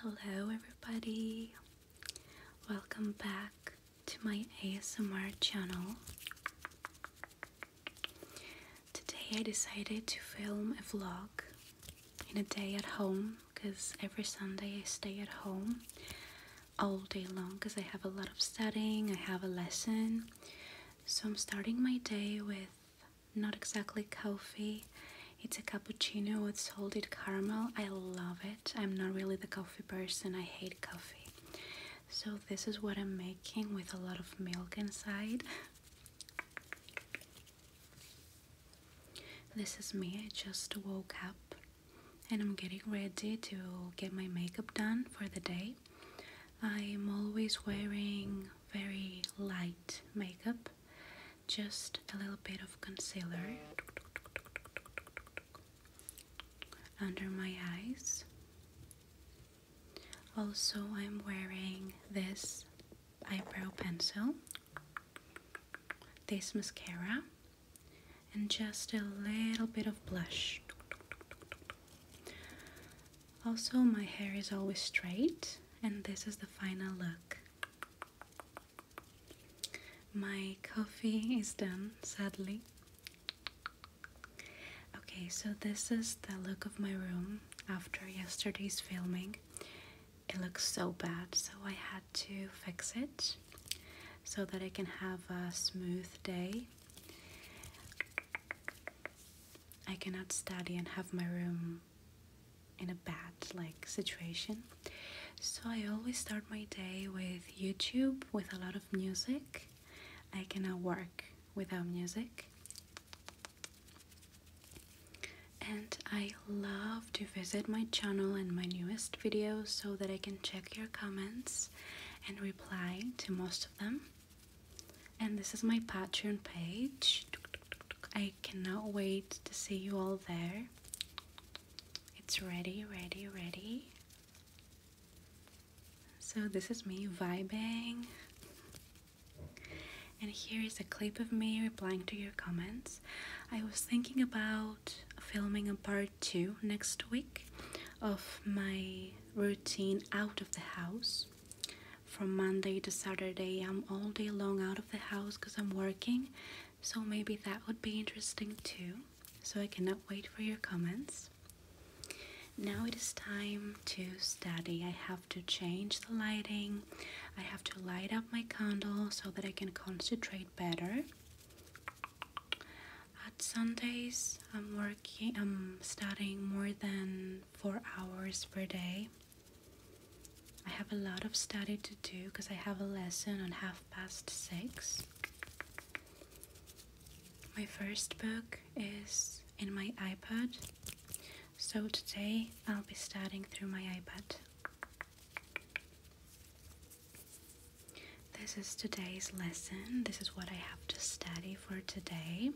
Hello, everybody. Welcome back to my ASMR channel. Today I decided to film a vlog in a day at home because every Sunday I stay at home all day long because I have a lot of studying, I have a lesson. So I'm starting my day with not exactly coffee. It's a cappuccino with salted caramel. I love it. I'm not really the coffee person. I hate coffee. So this is what I'm making with a lot of milk inside. This is me. I just woke up and I'm getting ready to get my makeup done for the day. I'm always wearing very light makeup, just a little bit of concealer under my eyes. Also, I'm wearing this eyebrow pencil, this mascara, and just a little bit of blush. Also, my hair is always straight, and this is the final look. My coffee is done, sadly. Okay, so this is the look of my room after yesterday's filming. It looks so bad, so I had to fix it so that I can have a smooth day. I cannot study and have my room in a bad like situation. So I always start my day with YouTube with a lot of music. I cannot work without music. And I love to visit my channel and my newest videos so that I can check your comments and reply to most of them and this is my Patreon page. I cannot wait to see you all there. It's ready, ready, ready. So, this is me vibing. And here is a clip of me replying to your comments. I was thinking about filming a part two next week of my routine out of the house from Monday to Saturday, I'm all day long out of the house because I'm working, so maybe that would be interesting too. So I cannot wait for your comments. Now it is time to study. I have to change the lighting, I have to light up my candle so that I can concentrate better. At Sundays, I'm working, I'm studying more than four hours per day. I have a lot of study to do because I have a lesson on half past six. My first book is in my iPad, so today I'll be studying through my iPad. This is today's lesson. This is what I have to study for today.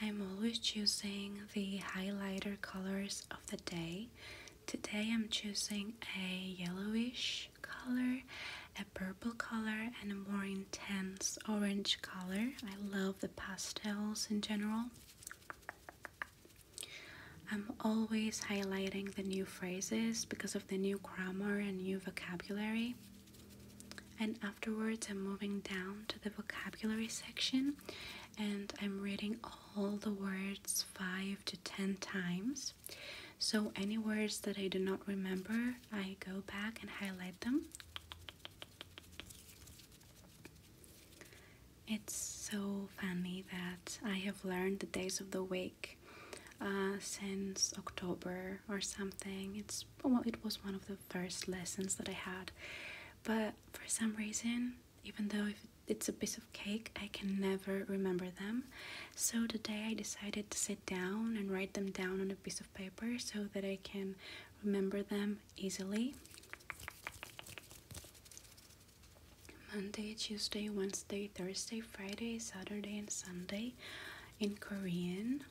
I'm always choosing the highlighter colors of the day. Today I'm choosing a yellowish color, a purple color, and a more intense orange color. I love the pastels in general. I'm always highlighting the new phrases because of the new grammar and new vocabulary. And afterwards, I'm moving down to the vocabulary section and I'm reading all the words five to ten times. So, any words that I do not remember, I go back and highlight them. It's so funny that I have learned the days of the week uh, since October or something. It's it was one of the first lessons that I had, but for some reason, even though it's a piece of cake, I can never remember them. So today I decided to sit down and write them down on a piece of paper so that I can remember them easily. Monday, Tuesday, Wednesday, Thursday, Friday, Saturday, and Sunday in Korean.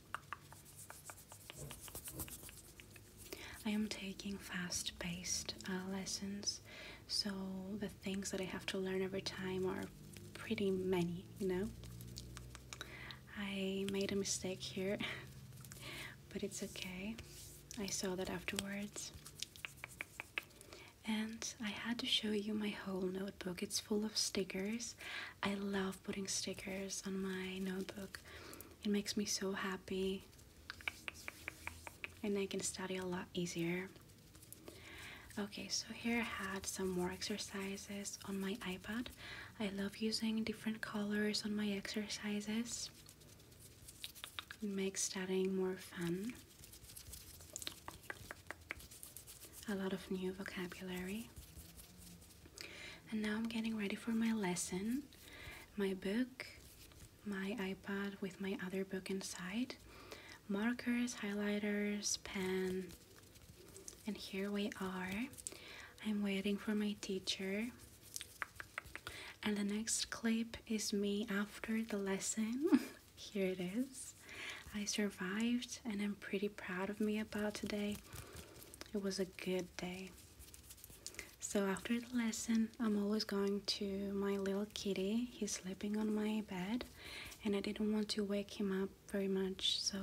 I am taking fast paced uh, lessons, so the things that I have to learn every time are pretty many, you know. I made a mistake here, but it's okay. I saw that afterwards and I had to show you my whole notebook. It's full of stickers. I love putting stickers on my notebook. It makes me so happy and I can study a lot easier. Okay, so here I had some more exercises on my iPad. I love using different colors on my exercises. It makes studying more fun a lot of new vocabulary. And now I'm getting ready for my lesson. My book, my iPod with my other book inside, markers, highlighters, pen, and here we are. I'm waiting for my teacher. And the next clip is me after the lesson. Here it is. I survived and I'm pretty proud of me about today. It was a good day. So after the lesson, I'm always going to my little kitty. He's sleeping on my bed and I didn't want to wake him up very much. So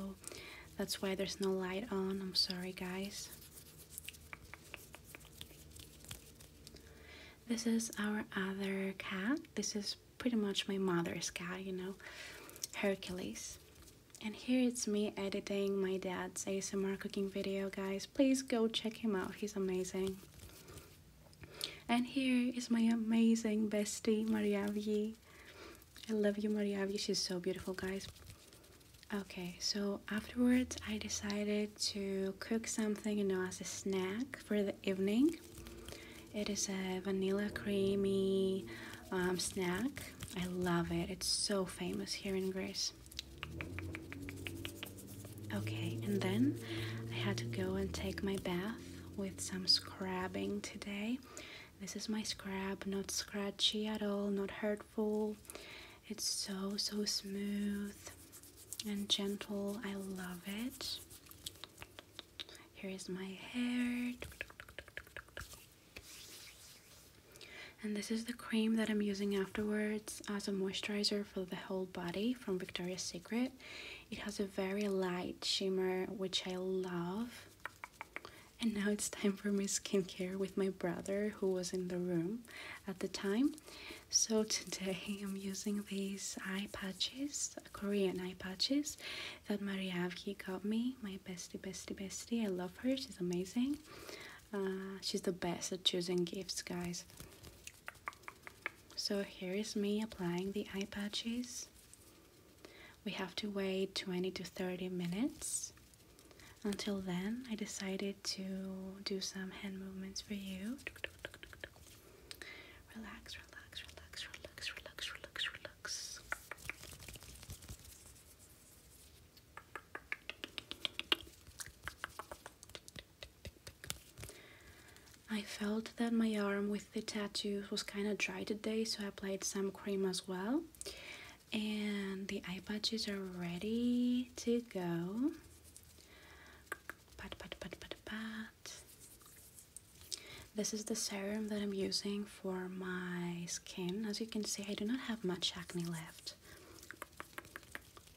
that's why there's no light on. I'm sorry guys. This is our other cat. This is pretty much my mother's cat, you know, Hercules. And here it's me editing my dad's ASMR cooking video, guys. Please go check him out. He's amazing. And here is my amazing bestie, Mariavi. I love you, Mariavi. She's so beautiful, guys. Okay, so afterwards, I decided to cook something, you know, as a snack for the evening. It is a vanilla creamy um, snack. I love it. It's so famous here in Greece. Okay, and then I had to go and take my bath with some scrubbing today. This is my scrub, not scratchy at all, not hurtful. It's so, so smooth and gentle. I love it. Here is my hair. And this is the cream that I'm using afterwards as a moisturizer for the whole body from Victoria's Secret. It has a very light shimmer, which I love. And now it's time for my skincare with my brother who was in the room at the time. So today I'm using these eye patches, Korean eye patches that Mariavki got me, my bestie, bestie, bestie. I love her, she's amazing. Uh, she's the best at choosing gifts, guys. So here is me applying the eye patches. We have to wait 20 to 30 minutes until then, I decided to do some hand movements for you. Relax, relax, relax, relax, relax, relax, relax. I felt that my arm with the tattoos was kind of dry today, so I applied some cream as well and the eye patches are ready to go. Pat, pat, pat, pat, pat. This is the serum that I'm using for my skin. As you can see, I do not have much acne left,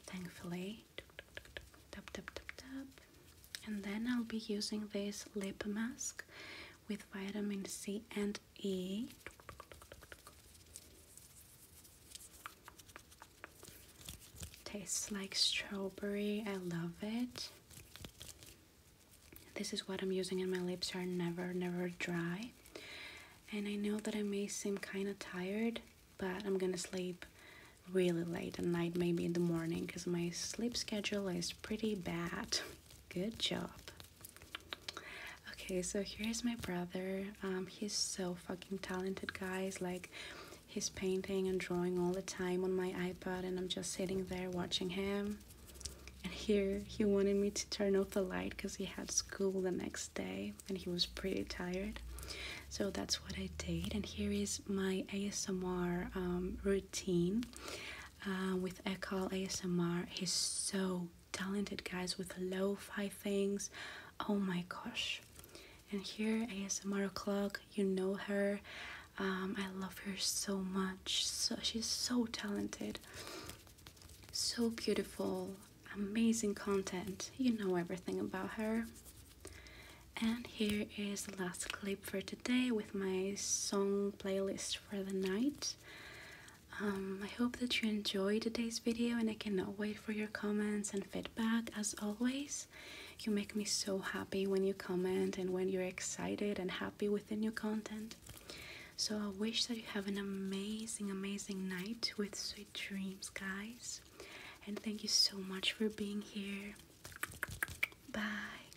thankfully. Tap, tap, tap, tap. And then I'll be using this lip mask with vitamin C and y tastes like strawberry I love it this is what I'm using and my lips are never never dry and I know that I may seem kind of tired but I'm gonna sleep really late at night maybe in the morning because my sleep schedule is pretty bad good job Okay, so here's my brother. Um, he's so fucking talented, guys. Like, he's painting and drawing all the time on my iPad, and I'm just sitting there watching him. And here, he wanted me to turn off the light because he had school the next day and he was pretty tired. So that's what I did. And here is my ASMR um, routine uh, with Ekal ASMR. He's so talented guys with lo fi things. Oh my gosh. And here, ASMR O'Clock, you know her. Um, I love her so much. So, she's so talented, so beautiful, amazing content. You know everything about her. And here is the last clip for today with my song playlist for the night. Um, I hope that you enjoyed today's video and I cannot wait for your comments and feedback as always. You make me so happy when you comment and when you're excited and happy with the new content. So I wish that you have an amazing, amazing night with sweet dreams, guys. And thank you so much for being here. Bye.